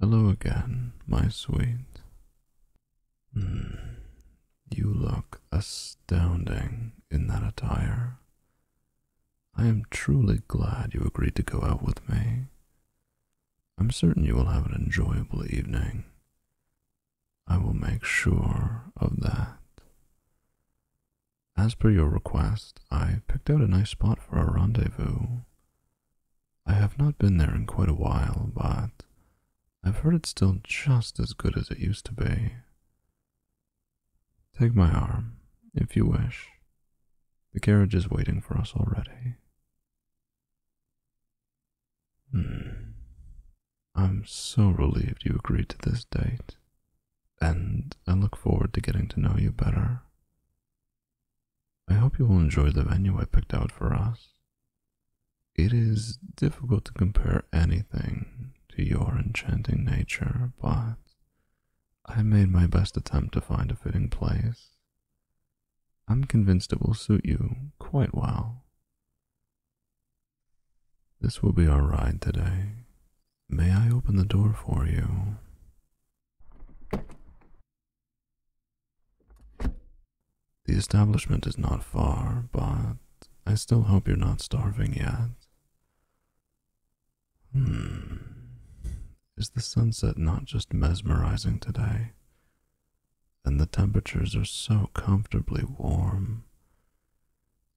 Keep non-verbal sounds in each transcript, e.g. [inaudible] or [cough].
Hello again, my sweet. Hmm, you look astounding in that attire. I am truly glad you agreed to go out with me. I'm certain you will have an enjoyable evening. I will make sure of that. As per your request, I picked out a nice spot for our rendezvous. I have not been there in quite a while, but I've heard it's still just as good as it used to be. Take my arm, if you wish. The carriage is waiting for us already. Hmm. I'm so relieved you agreed to this date and I look forward to getting to know you better. I hope you will enjoy the venue I picked out for us. It is difficult to compare anything to your enchanting nature, but I made my best attempt to find a fitting place. I'm convinced it will suit you quite well. This will be our ride today, May I open the door for you? The establishment is not far, but I still hope you're not starving yet. Hmm. Is the sunset not just mesmerizing today? And the temperatures are so comfortably warm.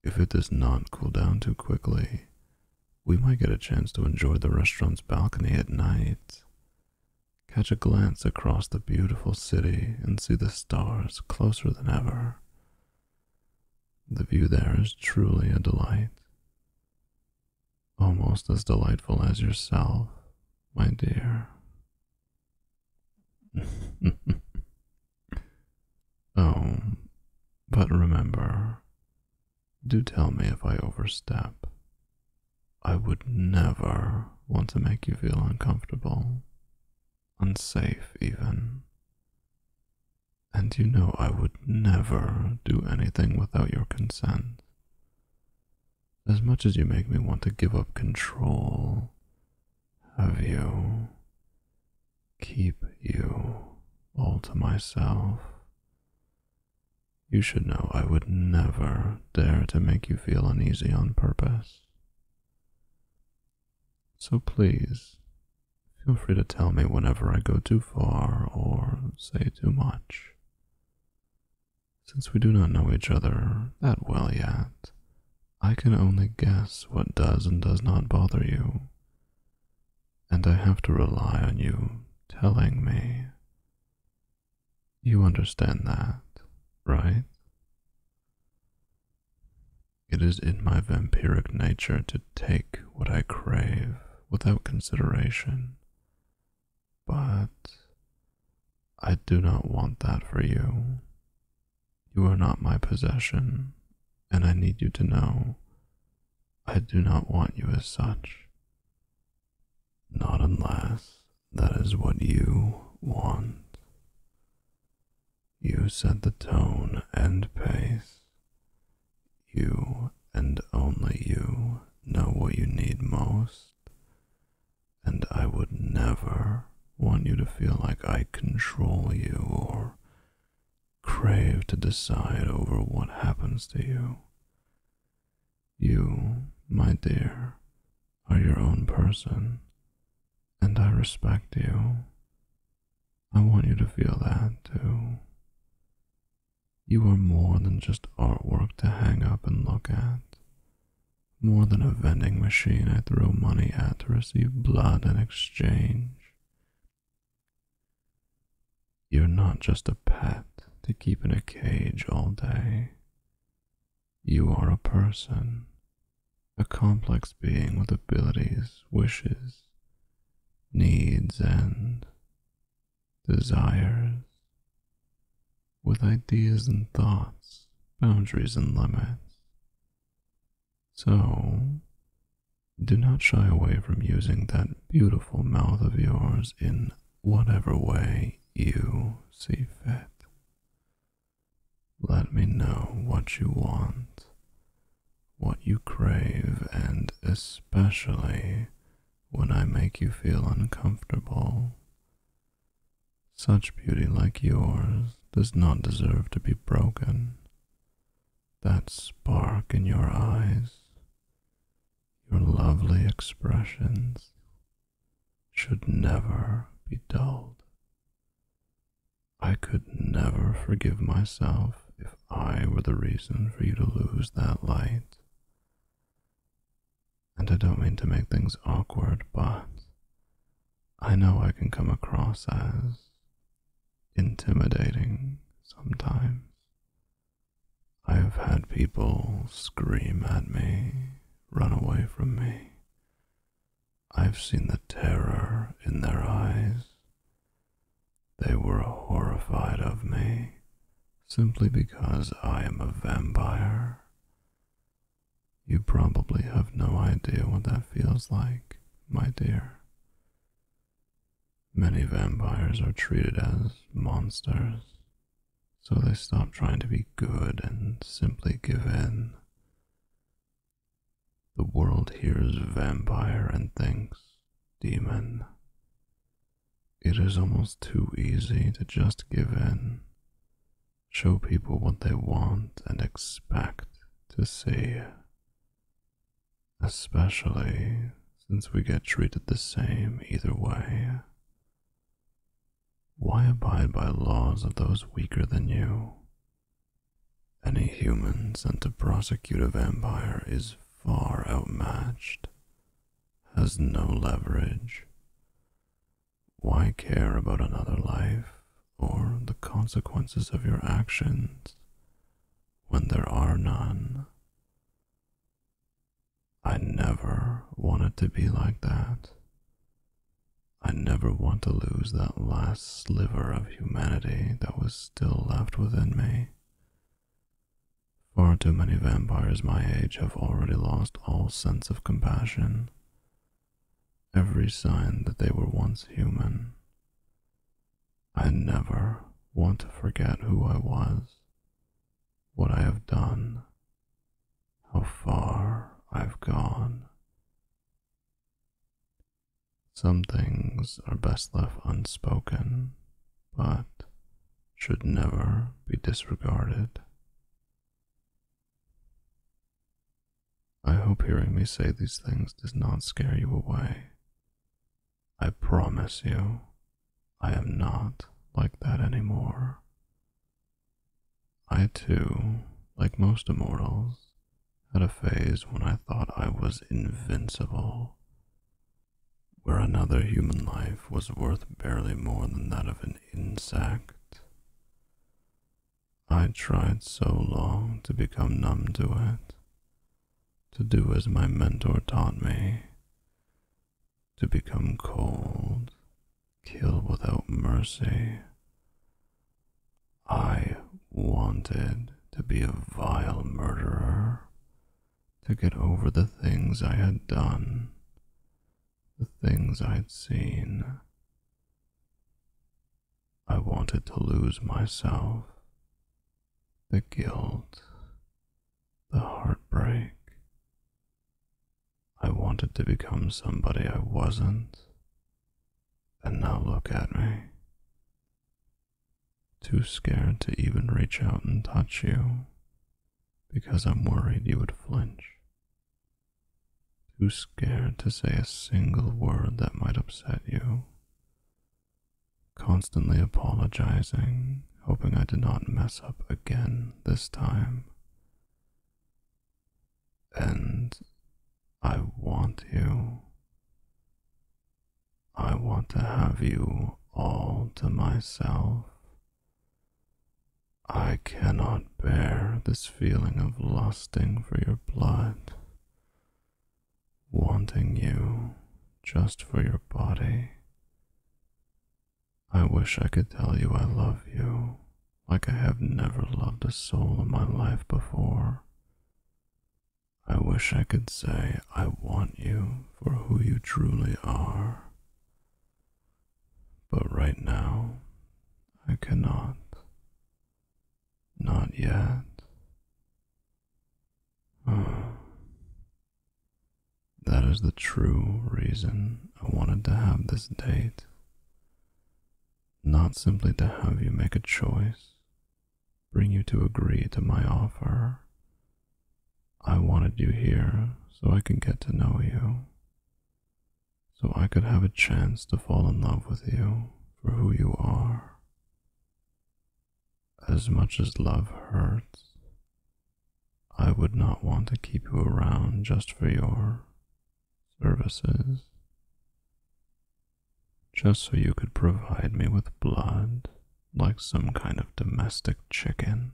If it does not cool down too quickly, we might get a chance to enjoy the restaurant's balcony at night. Catch a glance across the beautiful city and see the stars closer than ever. The view there is truly a delight. Almost as delightful as yourself, my dear. [laughs] Oh, but remember, do tell me if I overstep. I would never want to make you feel uncomfortable, unsafe even. And you know I would never do anything without your consent. As much as you make me want to give up control, of you, keep you all to myself. You should know I would never dare to make you feel uneasy on purpose. So please, feel free to tell me whenever I go too far or say too much. Since we do not know each other that well yet, I can only guess what does and does not bother you, and I have to rely on you telling me. You understand that, right? It is in my vampiric nature to take what I crave without consideration, but I do not want that for you. You are not my possession, and I need you to know I do not want you as such. Not unless that is what you want. You set the tone and pace. You and only you know what you need most, and I would never want you to feel like I control you or crave to decide over what happens to you. You, my dear, are your own person, and I respect you. I want you to feel that too. You are more than just artwork to hang up and look at, more than a vending machine I throw money at to receive blood in exchange. You're not just a pet to keep in a cage all day. You are a person, a complex being with abilities, wishes, needs, and desires, with ideas and thoughts, boundaries and limits, so, do not shy away from using that beautiful mouth of yours in whatever way you see fit. Let me know what you want, what you crave, and especially when I make you feel uncomfortable. Such beauty like yours does not deserve to be broken, that spark in your eyes, your lovely expressions should never be dulled. I could never forgive myself if I were the reason for you to lose that light. And I don't mean to make things awkward, but I know I can come across as intimidating sometimes. I have had people scream at me, run away from me. I've seen the terror in their eyes. They were horrified of me simply because I am a vampire. You probably have no idea what that feels like, my dear. Many vampires are treated as monsters, so they stop trying to be good and simply give in. The world hears vampire and thinks demon. It is almost too easy to just give in, show people what they want and expect to see. Especially since we get treated the same either way. Why abide by laws of those weaker than you? Any human sent to prosecute a vampire is far outmatched, has no leverage. Why care about another life or the consequences of your actions when there are none. I never wanted to be like that. I never want to lose that last sliver of humanity that was still left within me. Far too many vampires my age have already lost all sense of compassion every sign that they were once human. I never want to forget who I was, what I have done, how far I've gone. Some things are best left unspoken, but should never be disregarded. I hope hearing me say these things does not scare you away. I promise you, I am not like that anymore. I too, like most immortals, had a phase when I thought I was invincible, where another human life was worth barely more than that of an insect. I tried so long to become numb to it, to do as my mentor taught me, to become cold, kill without mercy. I wanted to be a vile murderer, to get over the things I had done, the things i had seen. I wanted to lose myself, the guilt, the heartbreak. I wanted to become somebody I wasn't, and now look at me. Too scared to even reach out and touch you because I'm worried you would flinch. Too scared to say a single word that might upset you. Constantly apologizing, hoping I did not mess up again this time. And I want you. I want to have you all to myself. I cannot bear this feeling of lusting for your blood, wanting you just for your body. I wish I could tell you I love you like I have never loved a soul in my life before. I wish I could say I want you for who you truly are. But right now, I cannot. Not yet. That is the true reason I wanted to have this date. Not simply to have you make a choice, bring you to agree to my offer. I wanted you here so I could get to know you, so I could have a chance to fall in love with you for who you are. As much as love hurts, I would not want to keep you around just for your services, just so you could provide me with blood like some kind of domestic chicken,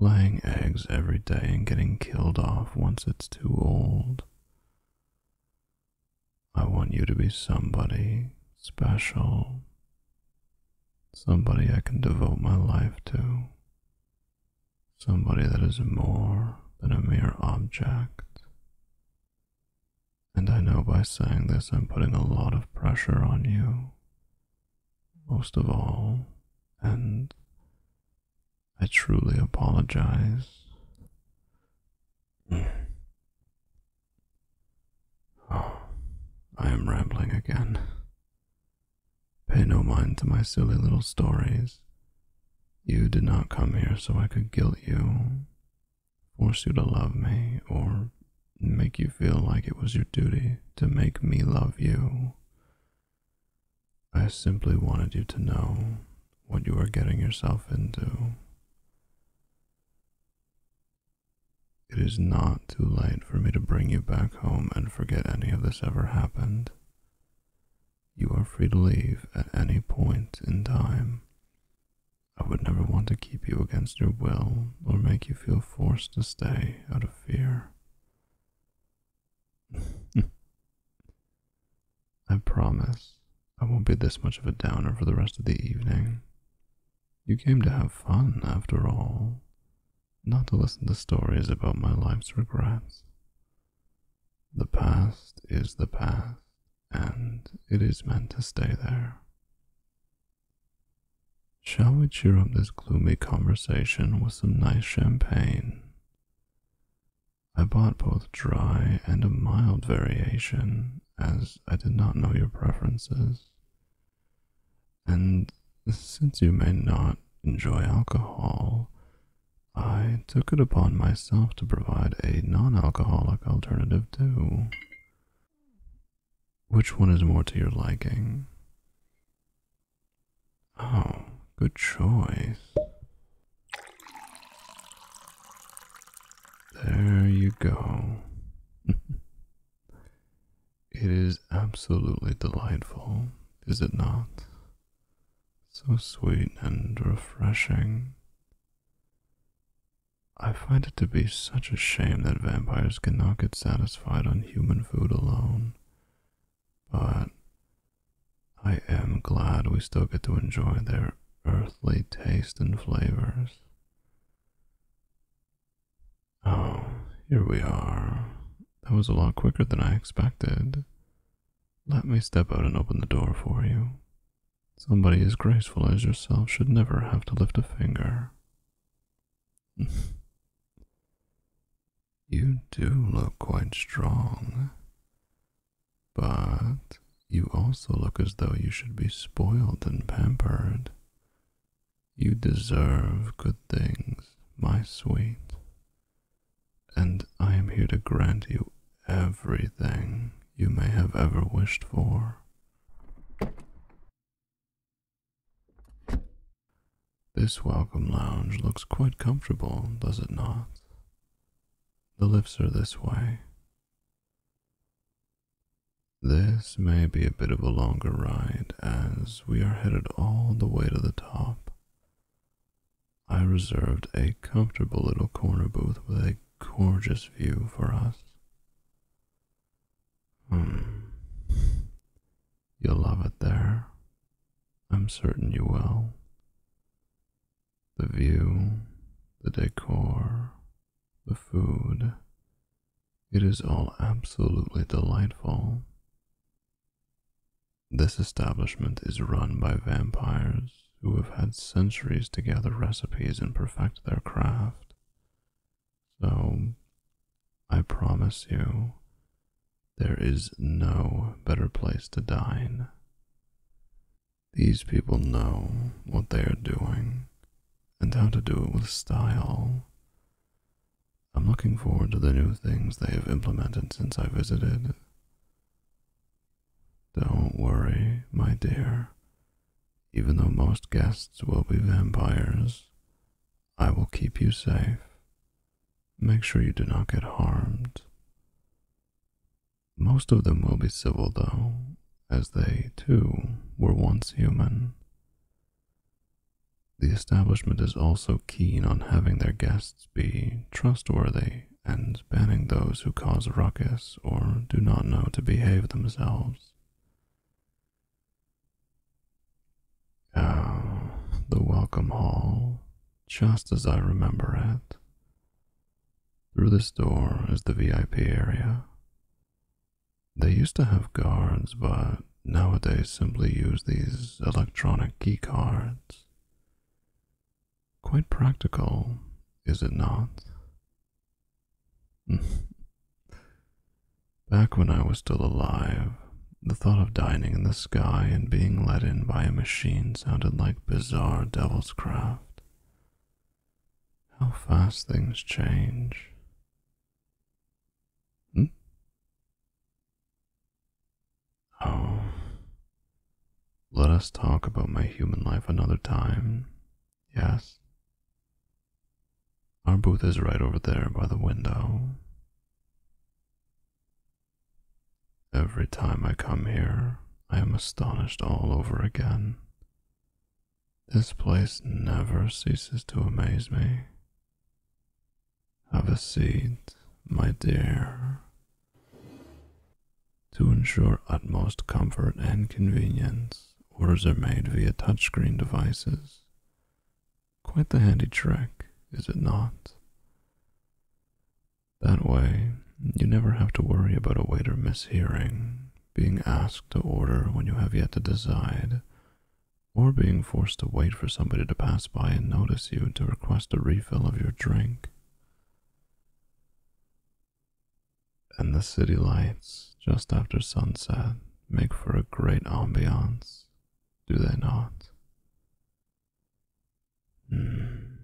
laying eggs every day and getting killed off once it's too old I want you to be somebody special, somebody I can devote my life to, somebody that is more than a mere object. And I know by saying this I'm putting a lot of pressure on you, most of all, and I truly apologize. [sighs] Oh, I am rambling again. Pay no mind to my silly little stories. You did not come here so I could guilt you, force you to love me, or make you feel like it was your duty to make me love you. I simply wanted you to know what you are getting yourself into. It is not too late for me to bring you back home and forget any of this ever happened. You are free to leave at any point in time. I would never want to keep you against your will or make you feel forced to stay out of fear. [laughs] I promise I won't be this much of a downer for the rest of the evening. You came to have fun, after all, not to listen to stories about my life's regrets. The past is the past, and it is meant to stay there. Shall we cheer up this gloomy conversation with some nice champagne? I bought both dry and a mild variation, as I did not know your preferences. And since you may not enjoy alcohol, I took it upon myself to provide a non-alcoholic alternative too. Which one is more to your liking? Oh, good choice. There you go. [laughs] it is absolutely delightful, is it not? So sweet and refreshing. I find it to be such a shame that vampires cannot get satisfied on human food alone, but I am glad we still get to enjoy their earthly taste and flavors. Oh, here we are. That was a lot quicker than I expected. Let me step out and open the door for you. Somebody as graceful as yourself should never have to lift a finger. [laughs] You do look quite strong, but you also look as though you should be spoiled and pampered. You deserve good things, my sweet, and I am here to grant you everything you may have ever wished for. This welcome lounge looks quite comfortable, does it not? The lifts are this way. This may be a bit of a longer ride as we are headed all the way to the top. I reserved a comfortable little corner booth with a gorgeous view for us. Hmm. You'll love it there. I'm certain you will. The view, the decor, the food, it is all absolutely delightful. This establishment is run by vampires who have had centuries to gather recipes and perfect their craft. So, I promise you, there is no better place to dine. These people know what they are doing and how to do it with style. I'm looking forward to the new things they have implemented since I visited. Don't worry, my dear. Even though most guests will be vampires, I will keep you safe Make sure you do not get harmed. Most of them will be civil, though, as they, too, were once human. The establishment is also keen on having their guests be trustworthy and banning those who cause ruckus or do not know to behave themselves. Ah, the welcome hall just as I remember it. Through this door is the VIP area. They used to have guards, but nowadays simply use these electronic key cards. Quite practical, is it not? [laughs] Back when I was still alive, the thought of dining in the sky and being let in by a machine sounded like bizarre devil's craft. How fast things change. Hmm? Oh. Let us talk about my human life another time. Yes. Our booth is right over there by the window. Every time I come here, I am astonished all over again. This place never ceases to amaze me. Have a seat, my dear. To ensure utmost comfort and convenience, orders are made via touchscreen devices Quite the handy trick, is it not? That way, you never have to worry about a waiter mishearing, being asked to order when you have yet to decide, or being forced to wait for somebody to pass by and notice you to request a refill of your drink. And the city lights just after sunset make for a great ambiance, do they not? Hmm.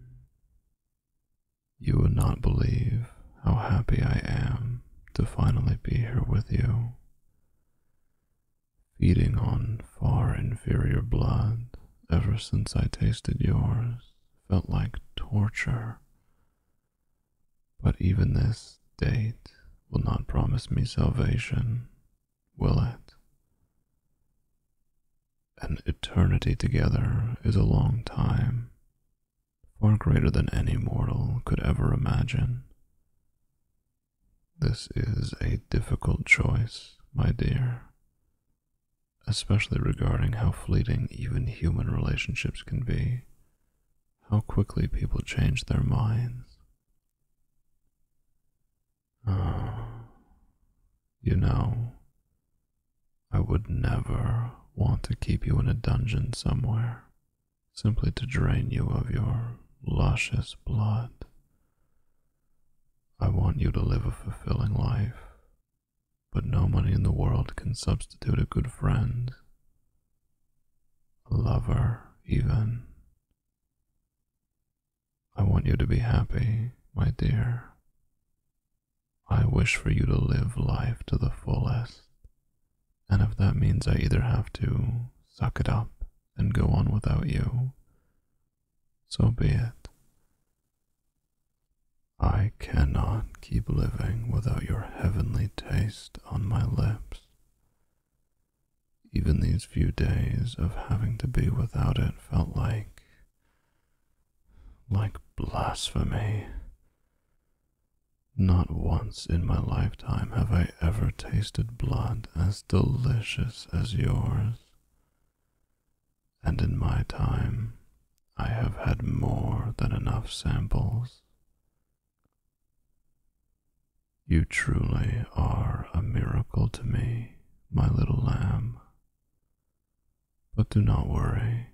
You would not believe how happy I am to finally be here with you. Feeding on far inferior blood ever since I tasted yours felt like torture. But even this date will not promise me salvation will it? An eternity together is a long time, far greater than any mortal could ever imagine. This is a difficult choice, my dear, especially regarding how fleeting even human relationships can be, how quickly people change their minds. [sighs] you know, I would never want to keep you in a dungeon somewhere simply to drain you of your luscious blood. I want you to live a fulfilling life, but no money in the world can substitute a good friend, a lover, even. I want you to be happy, my dear. I wish for you to live life to the fullest, and if that means I either have to suck it up and go on without you, so be it. I cannot keep living without your heavenly taste on my lips. Even these few days of having to be without it felt like. like blasphemy. Not once in my lifetime have I ever tasted blood as delicious as yours. And in my time, I have had more than enough samples. You truly are a miracle to me, my little lamb. But do not worry,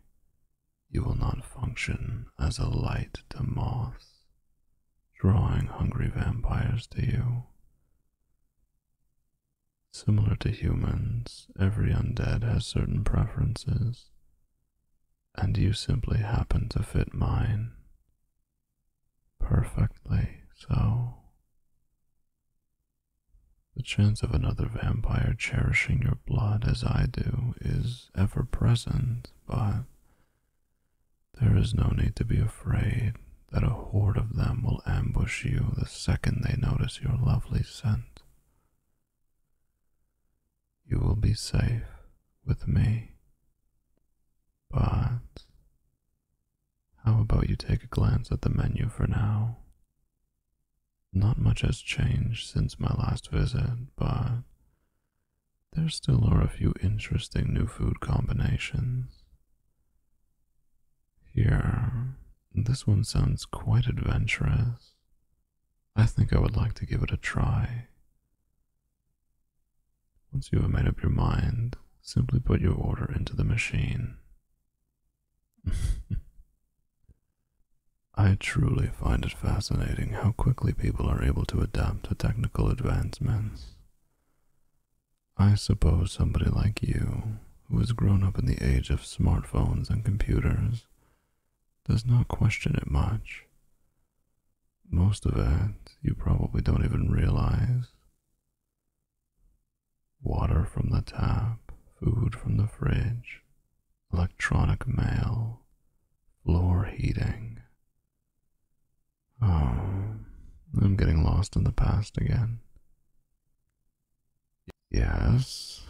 you will not function as a light to moths, drawing hungry vampires to you. Similar to humans, every undead has certain preferences, and you simply happen to fit mine Perfectly so. The chance of another vampire cherishing your blood as I do is ever present, but there is no need to be afraid that a horde of them will ambush you the second they notice your lovely scent. You will be safe with me. But how about you take a glance at the menu for now? Not much has changed since my last visit, but there still are a few interesting new food combinations. Here, this one sounds quite adventurous. I think I would like to give it a try. Once you have made up your mind, simply put your order into the machine. [laughs] I truly find it fascinating how quickly people are able to adapt to technical advancements. I suppose somebody like you, who has grown up in the age of smartphones and computers, does not question it much most of it you probably don't even realize. Water from the tap, food from the fridge, electronic mail, floor heating. Oh, I'm getting lost in the past again. Yes,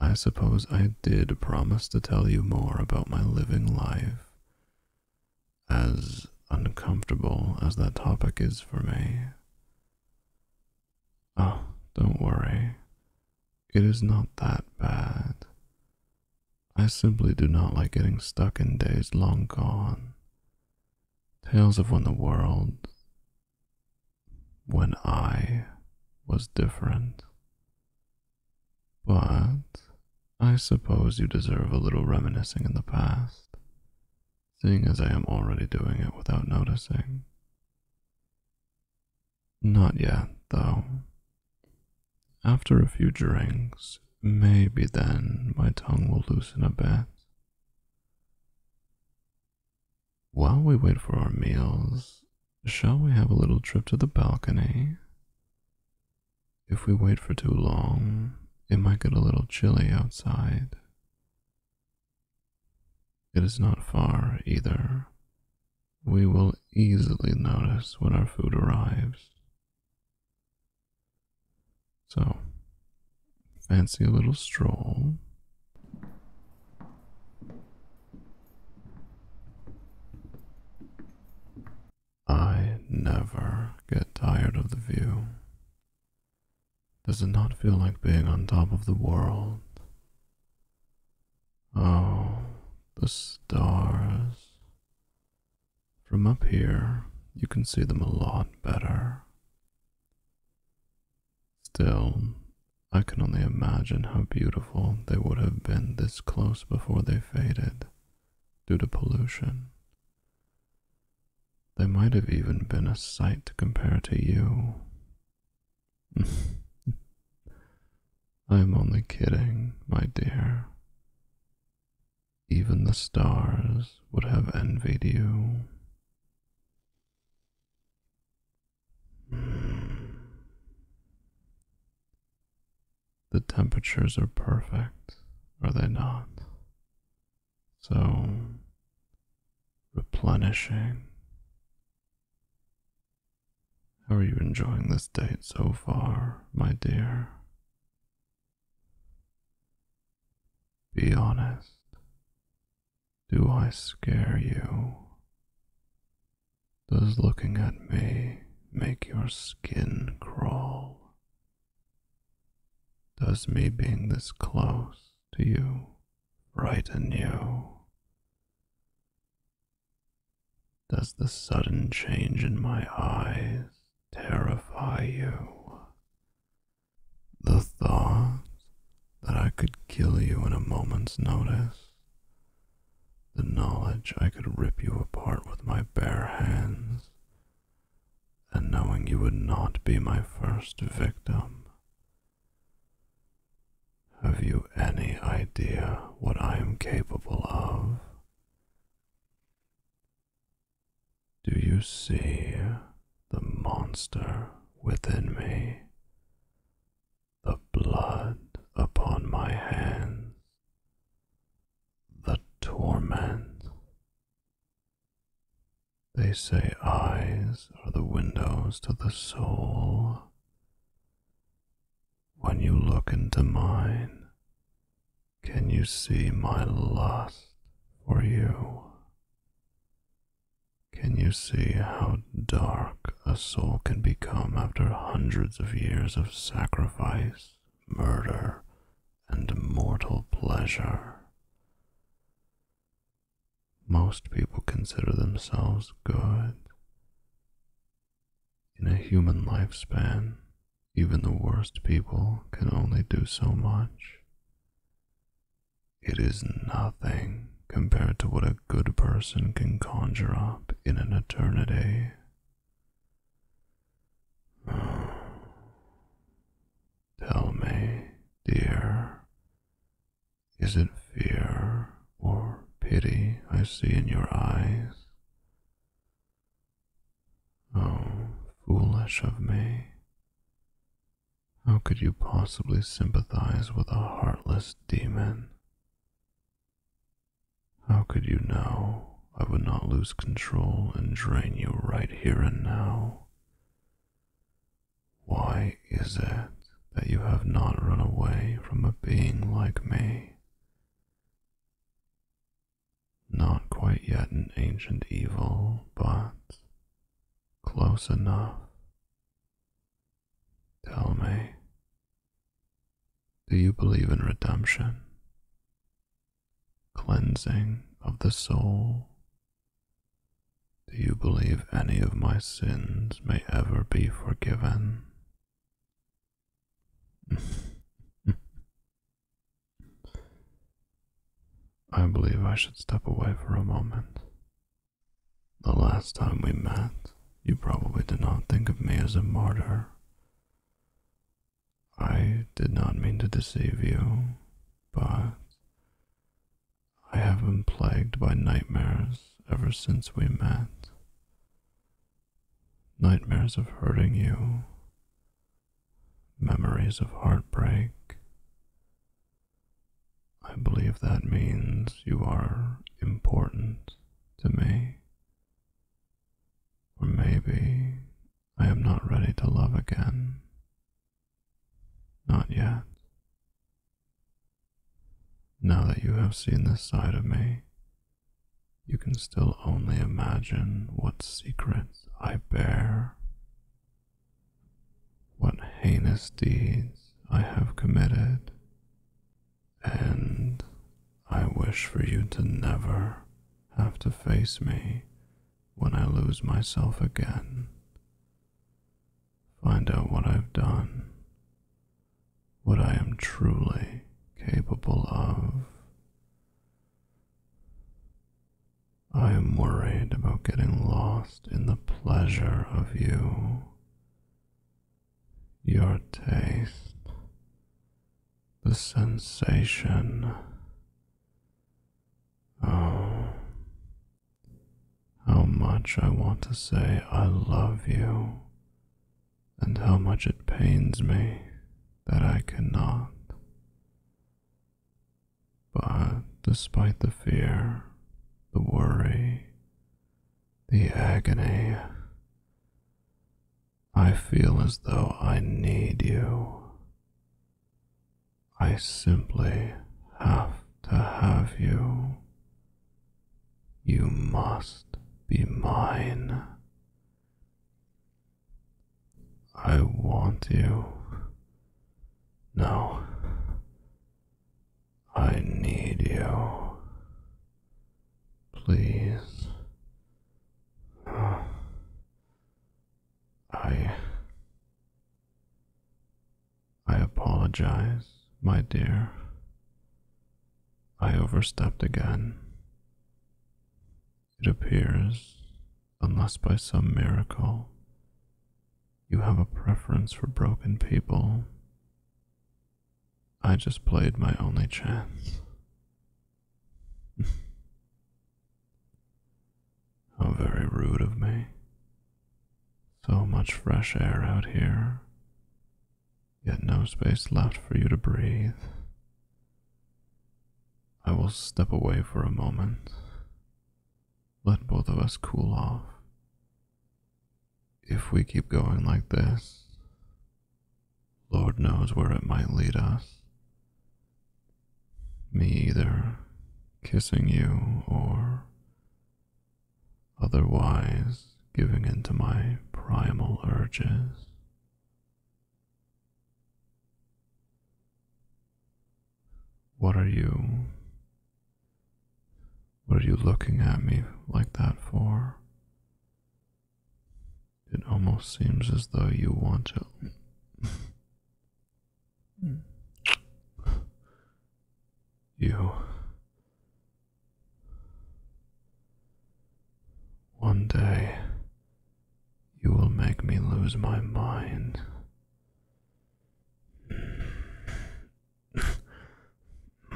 I suppose I did promise to tell you more about my living life as uncomfortable as that topic is for me. Oh, don't worry. It is not that bad. I simply do not like getting stuck in days long gone. Tales of when the world, when I was different. But I suppose you deserve a little reminiscing in the past, seeing as I am already doing it without noticing. Not yet, though. After a few drinks, maybe then my tongue will loosen a bit. While we wait for our meals, shall we have a little trip to the balcony? If we wait for too long, it might get a little chilly outside. It is not far either. We will easily notice when our food arrives. So, fancy a little stroll. I never get tired of the view. Does it not feel like being on top of the world? Oh, the stars. From up here, you can see them a lot better. Still, I can only imagine how beautiful they would have been this close before they faded due to pollution. They might have even been a sight to compare to you. [laughs] I'm only kidding, my dear. Even the stars would have envied you the temperatures are perfect, are they not? So, replenishing. How are you enjoying this date so far, my dear? Be honest. Do I scare you? Does looking at me make your skin crawl? Does me being this close to you frighten you? Does the sudden change in my eyes terrify you? The thought that I could kill you in a moment's notice, the knowledge I could rip you apart with my bare hands, and knowing you would not be my first victim. Have you any idea what I am capable of? Do you see the monster within me? The blood upon my hands, the torment. They say eyes are the windows to the soul. When you look into mine, can you see my lust for you? Can you see how dark a soul can become after hundreds of years of sacrifice? murder, and mortal pleasure. Most people consider themselves good. In a human lifespan, even the worst people can only do so much. It is nothing compared to what a good person can conjure up in an eternity [sighs] Tell me, dear, is it fear or pity I see in your eyes? Oh, foolish of me. How could you possibly sympathize with a heartless demon? How could you know I would not lose control and drain you right here and now? Why is it that you have not run away from a being like me? Not quite yet an ancient evil, but close enough. Tell me, do you believe in redemption? Cleansing of the soul? Do you believe any of my sins may ever be forgiven? [laughs] I believe I should step away for a moment. The last time we met, you probably did not think of me as a martyr I did not mean to deceive you, but I have been plagued by nightmares ever since we met. Nightmares of hurting you, memories of heartbreak. I believe that means you are important to me or maybe I am not ready to love again. Not yet. Now that you have seen this side of me, you can still only imagine what secrets I bear, what heinous deeds I have committed, and I wish for you to never have to face me when I lose myself again. Find out what I've done, what I am truly capable of. I am worried about getting lost in the pleasure of you your taste, the sensation. Oh, how much I want to say I love you, and how much it pains me that I cannot. But despite the fear, the worry, the agony, I feel as though I need you. I simply have to have you. You must be mine. I want you. No, I need you. Please. I. I apologize, my dear. I overstepped again. It appears, unless by some miracle, you have a preference for broken people. I just played my only chance. [laughs] How very rude of me. So much fresh air out here, yet no space left for you to breathe. I will step away for a moment, let both of us cool off, if we keep going like this, Lord knows where it might lead us. Me either kissing you or otherwise giving in to my primal urges. What are you? What are you looking at me like that for? It almost seems as though you want to. [laughs] you. One day, you will make me lose my mind. [sighs]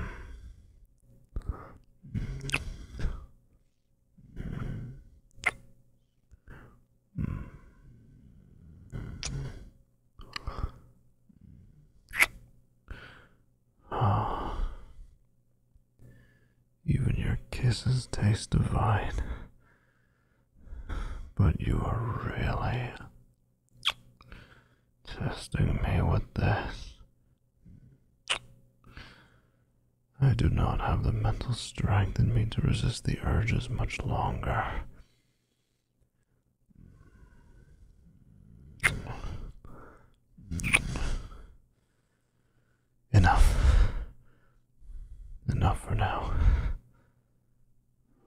Even your kisses taste divine, but you are really testing me with this. I do not have the mental strength in me to resist the urges much longer. Enough. Enough for now.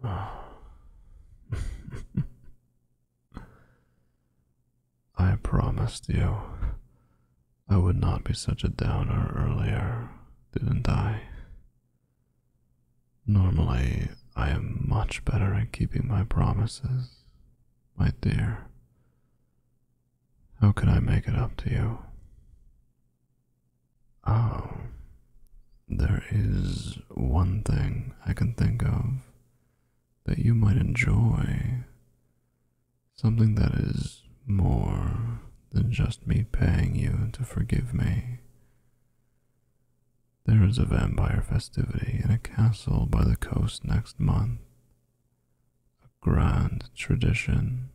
Ah. [laughs] I promised you I would not be such a downer earlier, didn't I? Normally, I am much better at keeping my promises, my dear. How can I make it up to you? Oh, there is one thing I can think of that you might enjoy. Something that is more than just me paying you to forgive me. There is a vampire festivity in a castle by the coast next month. A grand tradition.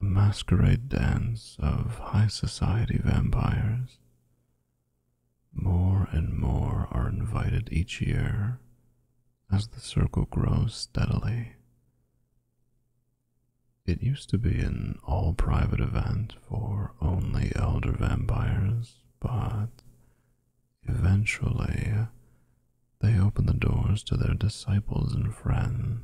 A masquerade dance of high society vampires more and more are invited each year as the circle grows steadily. It used to be an all private event for only elder vampires, but eventually they opened the doors to their disciples and friends.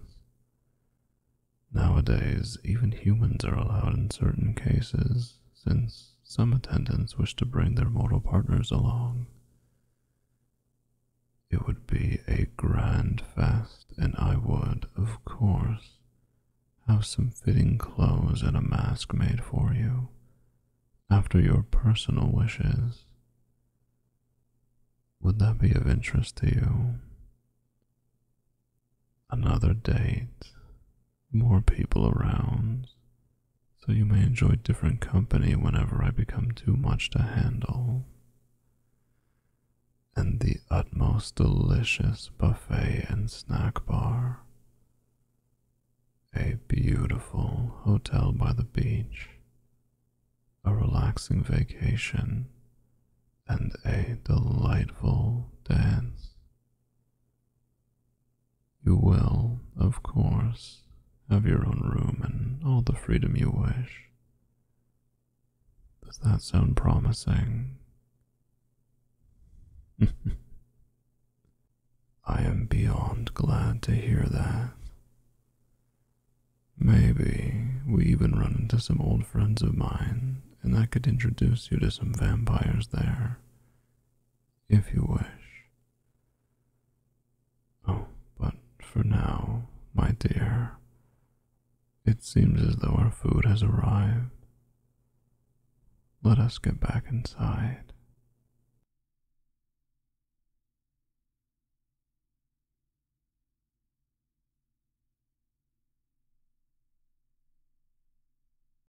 Nowadays, even humans are allowed in certain cases, since some attendants wish to bring their mortal partners along. It would be a grand fest, and I would, of course, have some fitting clothes and a mask made for you, after your personal wishes. Would that be of interest to you? Another date more people around, so you may enjoy different company whenever I become too much to handle. And the utmost delicious buffet and snack bar. A beautiful hotel by the beach, a relaxing vacation, and a delightful dance. You will, of course, have your own room and all the freedom you wish. Does that sound promising? [laughs] I am beyond glad to hear that. Maybe we even run into some old friends of mine, and I could introduce you to some vampires there if you wish. Oh, but for now, my dear, it seems as though our food has arrived. Let us get back inside.